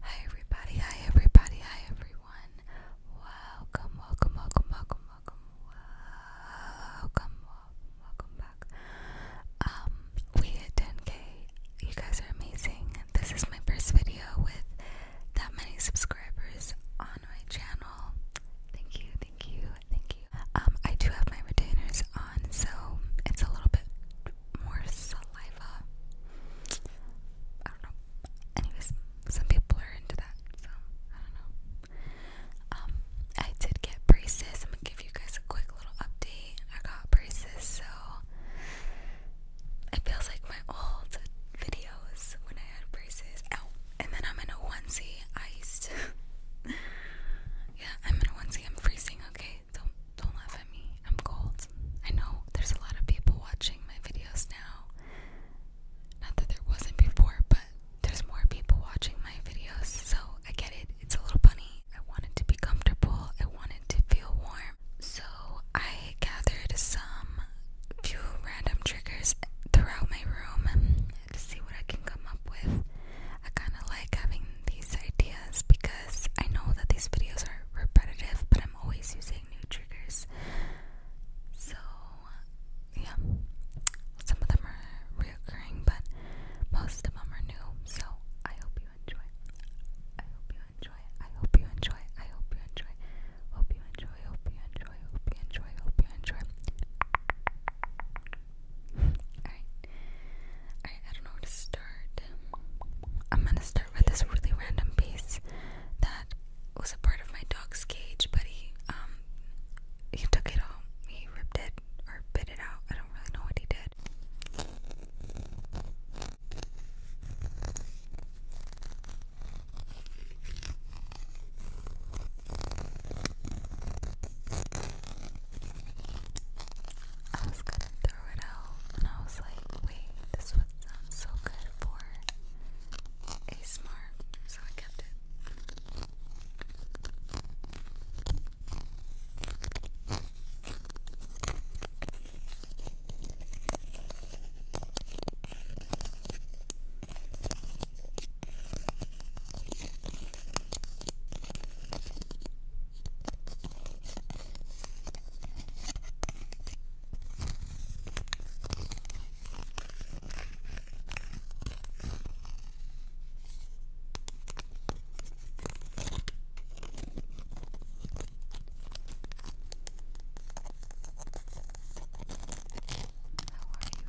Hi everybody, hi everybody, hi everyone. Welcome, welcome, welcome, welcome, welcome, welcome, welcome back. Um, we hit 10k. You guys are amazing. This is my first video with that many subscribers on my channel. Thank you, thank you, thank you. Um, I do have my retainers on, so it's a little bit more saliva. I don't know. Anyways, some people are into that, so I don't know. Um, I did get braces. I'm gonna give you guys a quick little update. I got braces, so it feels like my old videos when I had braces. Oh, and then I'm in a onesie. I used to. yeah, I'm in a onesie. I'm freezing. Okay, don't don't laugh at me. I'm cold. I know there's a lot of people watching my videos now. Not that there wasn't before, but there's more people watching my videos, so I get it. It's a little funny. I wanted to be comfortable. I wanted to feel warm. So I gathered some few random triggers throughout my room to see what I can come up with. I kind of like having these ideas because I know that these videos are repetitive, but I'm I'm always using new triggers. So, yeah, some of them are reoccurring, but most of them are new. So, I hope you enjoy. I hope you enjoy. I hope you enjoy. I hope you enjoy. Hope you enjoy. Hope you enjoy. Hope you enjoy. Hope you enjoy. Alright. I don't know where to I'm gonna start with this really random piece that was a part of my dog's cage, but he um, he took it all. He ripped it or bit it out. I don't really know what he did. I was gonna throw it out, and I was like, wait, this would sound so good for a smart, so I kept it. How are you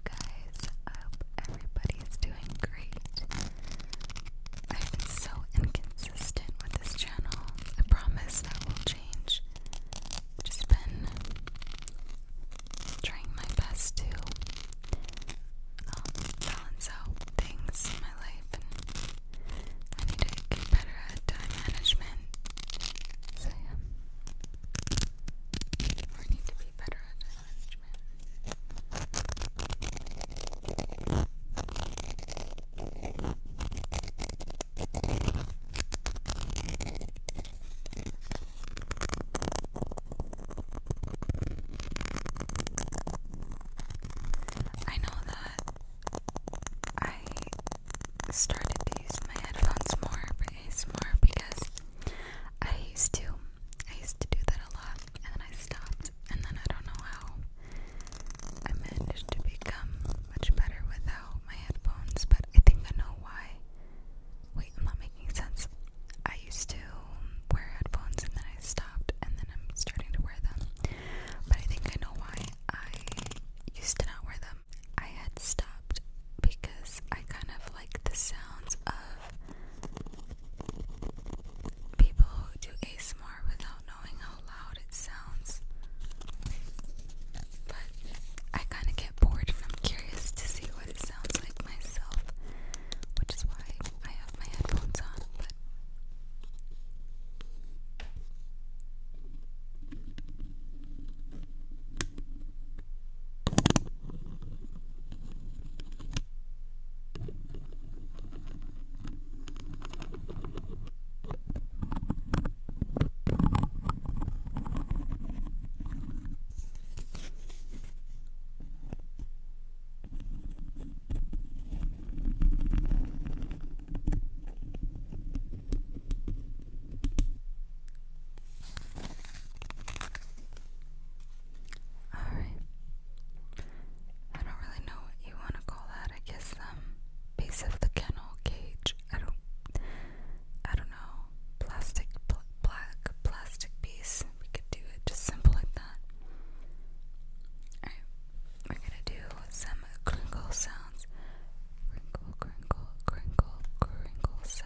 guys? I hope everybody is doing great. I've been so inconsistent with this channel. I promise that will just been trying my best to um, balance out things in my life, and I need to get better at time management. So yeah, or need to be better at time management. I know that I started to use my headphones more for ASMR because I used to. I used to do that a lot and then I stopped and then I don't know how I managed to become much better without my headphones, but I think I know why. Wait, i not making sense. I used to wear headphones and then I stopped, and then I'm starting to wear them. But I think I know why I used to not wear them. I had stopped because I kind of like the sounds of people who do ASMR without without knowing how loud it sounds. But I kind of get bored and I'm curious to see what it sounds like myself, which is why I have my headphones on. But Alright. I don't really know what you want to call that. I guess, um, Piece of the kennel cage. I don't, I don't know. Plastic, black plastic piece. We could do it just simple like that. Alright, we're gonna do some crinkle sounds. Crinkle, crinkle, crinkle, crinkle sounds.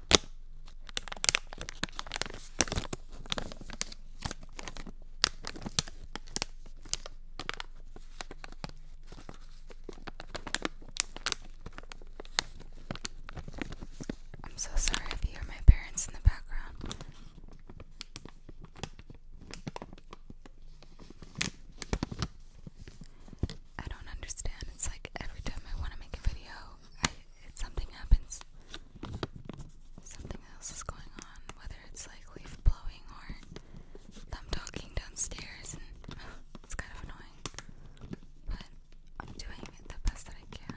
I'm so sorry if you hear my parents in the background. I don't understand. It's like every time I want to make a video, I, something happens. Something else is going on, whether it's like leaf blowing or them talking downstairs, it's kind of annoying. But I'm doing it the best that I can.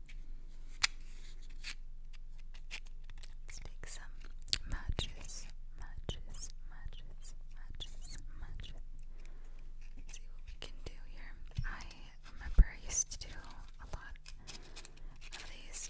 Let's take some matches, matches, matches, matches, matches. see what we can do here. I remember I used to do a lot of these.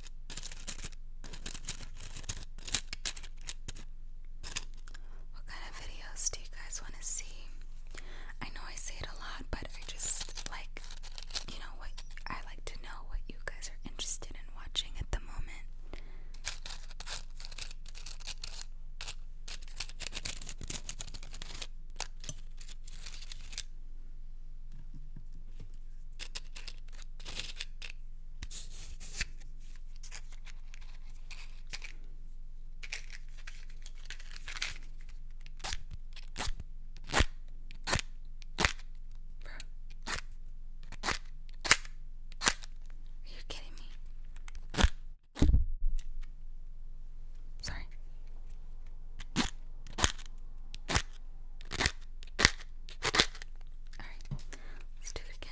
What kind of videos do you guys want to see? I know I say it a lot, but I just like, you know, what I like to know what you guys are interested in watching at the moment. Are you kidding me? Sorry. All right. Let's do it again.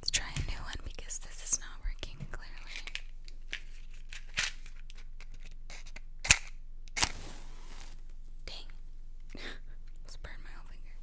Let's try a new one because this is not working clearly. Dang. Let's burn my whole finger.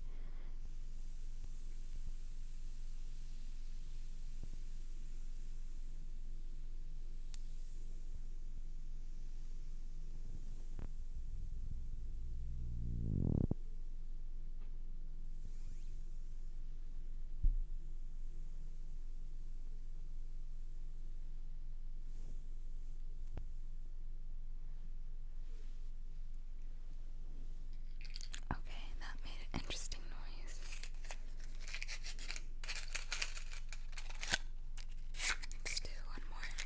Okay, that made an interesting noise. Let's do one more.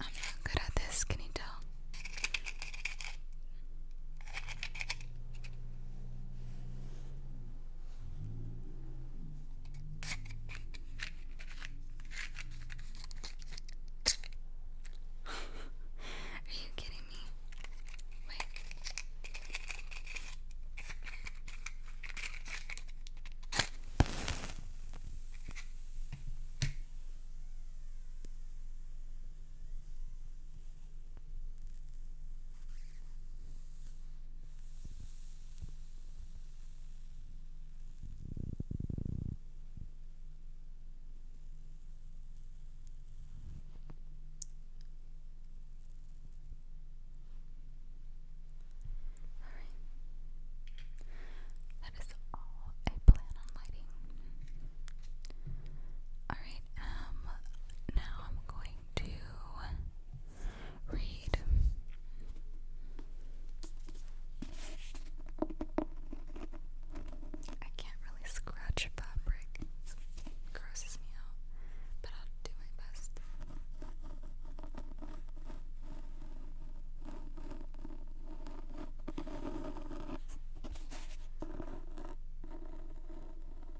I'm not good at this, can you tell? Are you kidding me? Wait. That is all I plan on lighting. Alright, um, now I'm going to read. I can't really scratch fabric, grosses me out, but I'll do my best.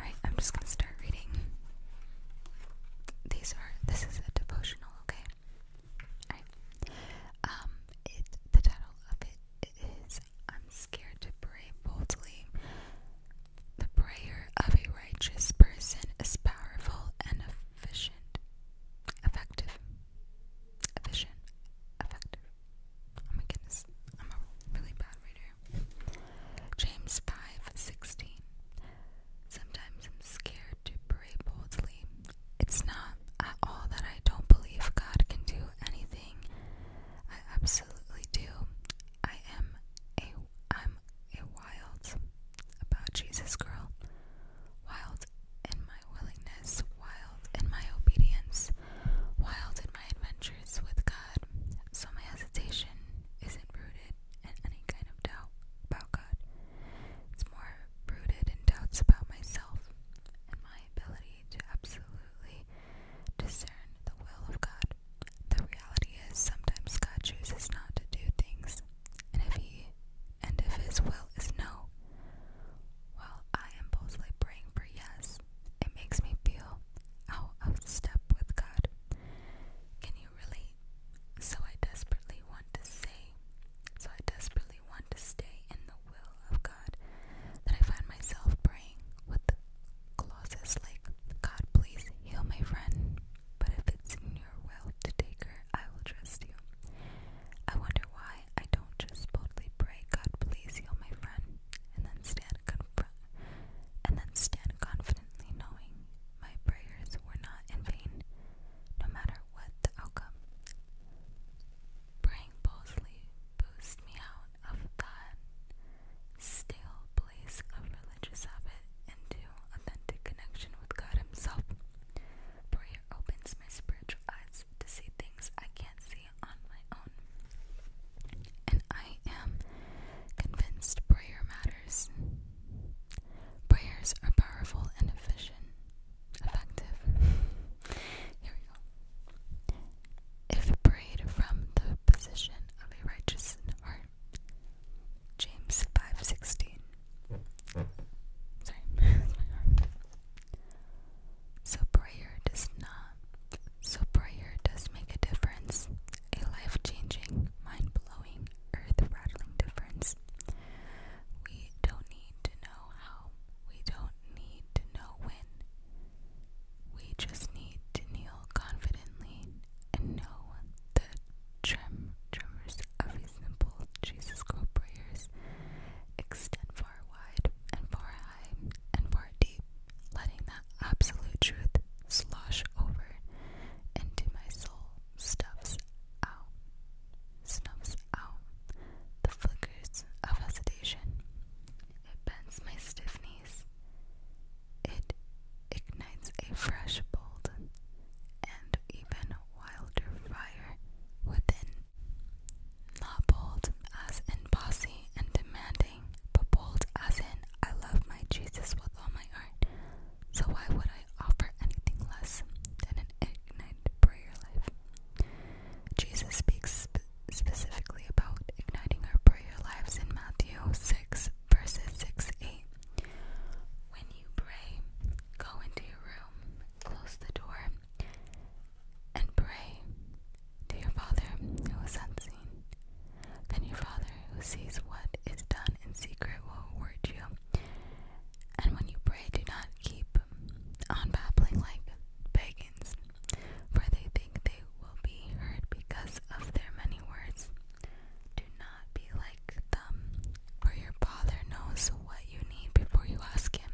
Alright, I'm just gonna start reading. These are this is a devotional, okay? Alright. Um it the title of it is I'm scared to pray boldly. The prayer of a righteous person is powerful and efficient. Effective. Efficient. Effective. Oh my goodness, I'm a really bad reader. James 5:16. Sometimes I'm scared to pray boldly. It's not at all that I don't believe God can do anything. I absolutely do. I am a I'm a wild about Jesus girl. Wild in my willingness, wild in my obedience, was in my adventures with God, so my hesitation isn't rooted in any kind of doubt about God. It's more rooted in doubts about myself and my ability to absolutely discern the will of God. The reality is sometimes God chooses not to do things, and if he and if his will is no, while I impulsively praying for yes, it makes me feel out of step with God. Can you relate? So I desperately want to say, so I desperately want to stay in the will of God that I find myself praying with the clauses like, God, please heal my friend, but if it's in your will to take her, I will trust you. I wonder why I don't just boldly pray, God, please heal my friend, and then stand and then stand confidently knowing my prayers were not in vain, no matter what the outcome. Praying boldly boosts me out of that stale place of religious habit into authentic connection with God Himself. Prayer opens my spiritual eyes to see things I can't see on my own. And I am convinced prayer matters. Prayers are powerful and efficient, effective. Here we go. If prayed from the position of a righteous James five sixteen. Sorry, So prayer does not so, prayer does make a difference a life changing, mind blowing, earth rattling difference. We don't need to know how, we don't need to know when. We just need to kneel confidently and know the trem tremors of his simple Jesus Christ prayers extend far wide and far high and far deep, letting that absolute truth slosh over into my soul, stuffs out, snuffs out the flickers of hesitation. It bends my stiff knees. It ignites a fresh, bold, and even wilder fire within. Not bold as in bossy and demanding but bold as in I love my Jesus with all my heart. So why would I offer anything less than an ignited prayer life? Jesus speaks specifically about igniting our prayer lives in Matthew 6, verses 6 8. When you pray, go into your room, close the door, and pray to your Father who is unseen. Then your Father who sees what is done in secret will reward you. And when you pray, do not keep on babbling like pagans, for they think they will be heard because of their many words. Do not be like them, for your Father knows what you need before you ask Him.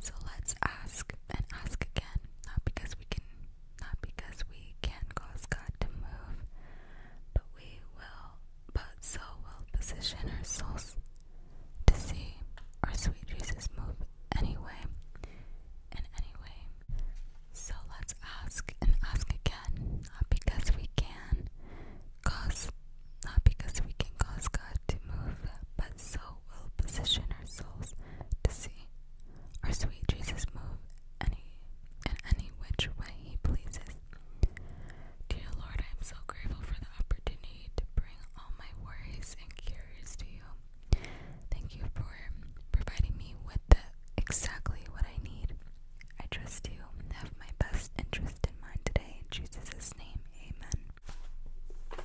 So let's ask and ask again, not because we can not because we can cause God to move, but we will but so will position ourselves to see our sweet Jesus move anyway in any way. So let's ask and ask again, not because we can cause not because we can cause God to move, but so will position ourselves to see our sweet Jesus move any in any which way he pleases. Dear Lord, I am so grateful for the opportunity to bring all my worries and cares to you. Thank you for providing me with exactly what I need. I trust you have my best interest in mind today. In name, amen.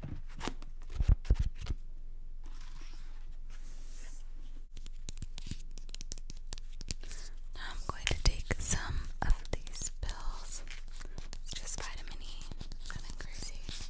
Now I'm going to take some of these pills. It's just vitamin E, nothing crazy.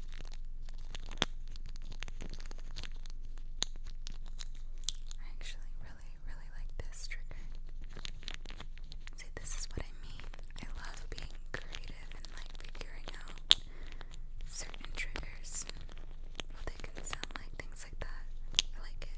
I actually really, really like this trigger. See, this is what I mean. I love being creative and like figuring out certain triggers. Well, they can sound like things like that. I like it.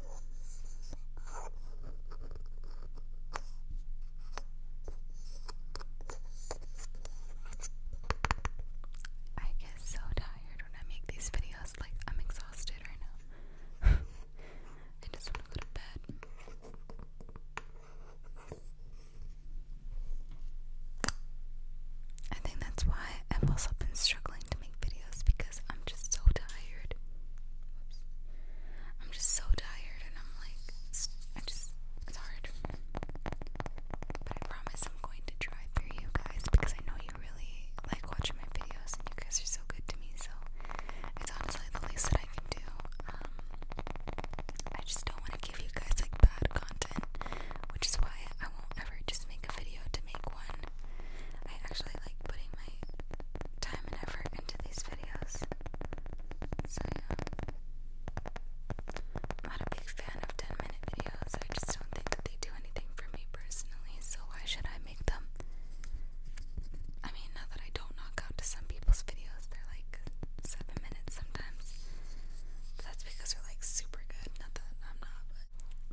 I get so tired when I make these videos, like, I'm exhausted right now. I just want to go to bed. I think that's why I've also been struggling to make videos because. I'm just so tired. I'm just so tired, and I'm like, I just, it's hard. But I promise I'm going to try for you guys because I know you really like watching my videos, and you guys are so good to me. So it's honestly the least that I can do. Um, I just don't want to give you guys like bad content, which is why I won't ever just make a video to make one. I actually like putting my time and effort into these videos. So, yeah. I'm not a big fan of 10 minute videos. I just don't think that they do anything for me personally, so why should I make them? I mean, not that I don't knock out to some people's videos, they're like 7 minutes sometimes. that's because they're like super good. Not that I'm not, but,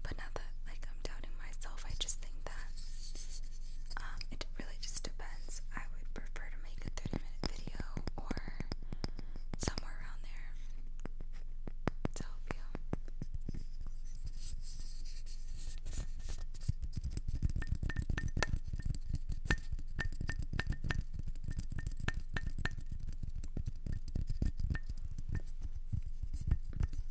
but not that like I'm doubting myself. I just think that um, it really just depends. I would prefer to make a 30 minute video or somewhere around there to help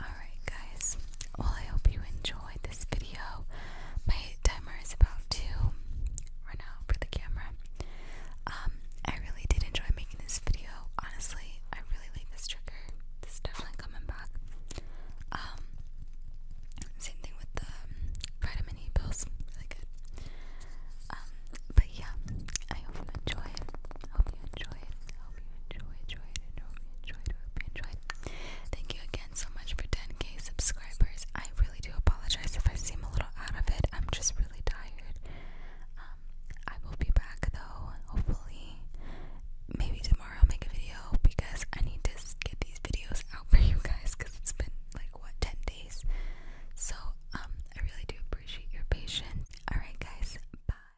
Alright, guys. Well, I hope you enjoyed this video. My timer is about to run out for the camera. Um, I really did enjoy making this video. Honestly, I really like this trigger. This is definitely coming back. Um, same thing with the um, vitamin E pills. Really good. Um, but yeah, I hope you enjoy it. Hope you enjoy it. Thank you again so much for 10k subscribers. I really do apologize if I seem a little out of it. I'm just really tired. Um, I will be back though, hopefully. Maybe tomorrow I'll make a video because I need to get these videos out for you guys because it's been like what 10 days. So, um, I really do appreciate your patience. Alright, guys, bye.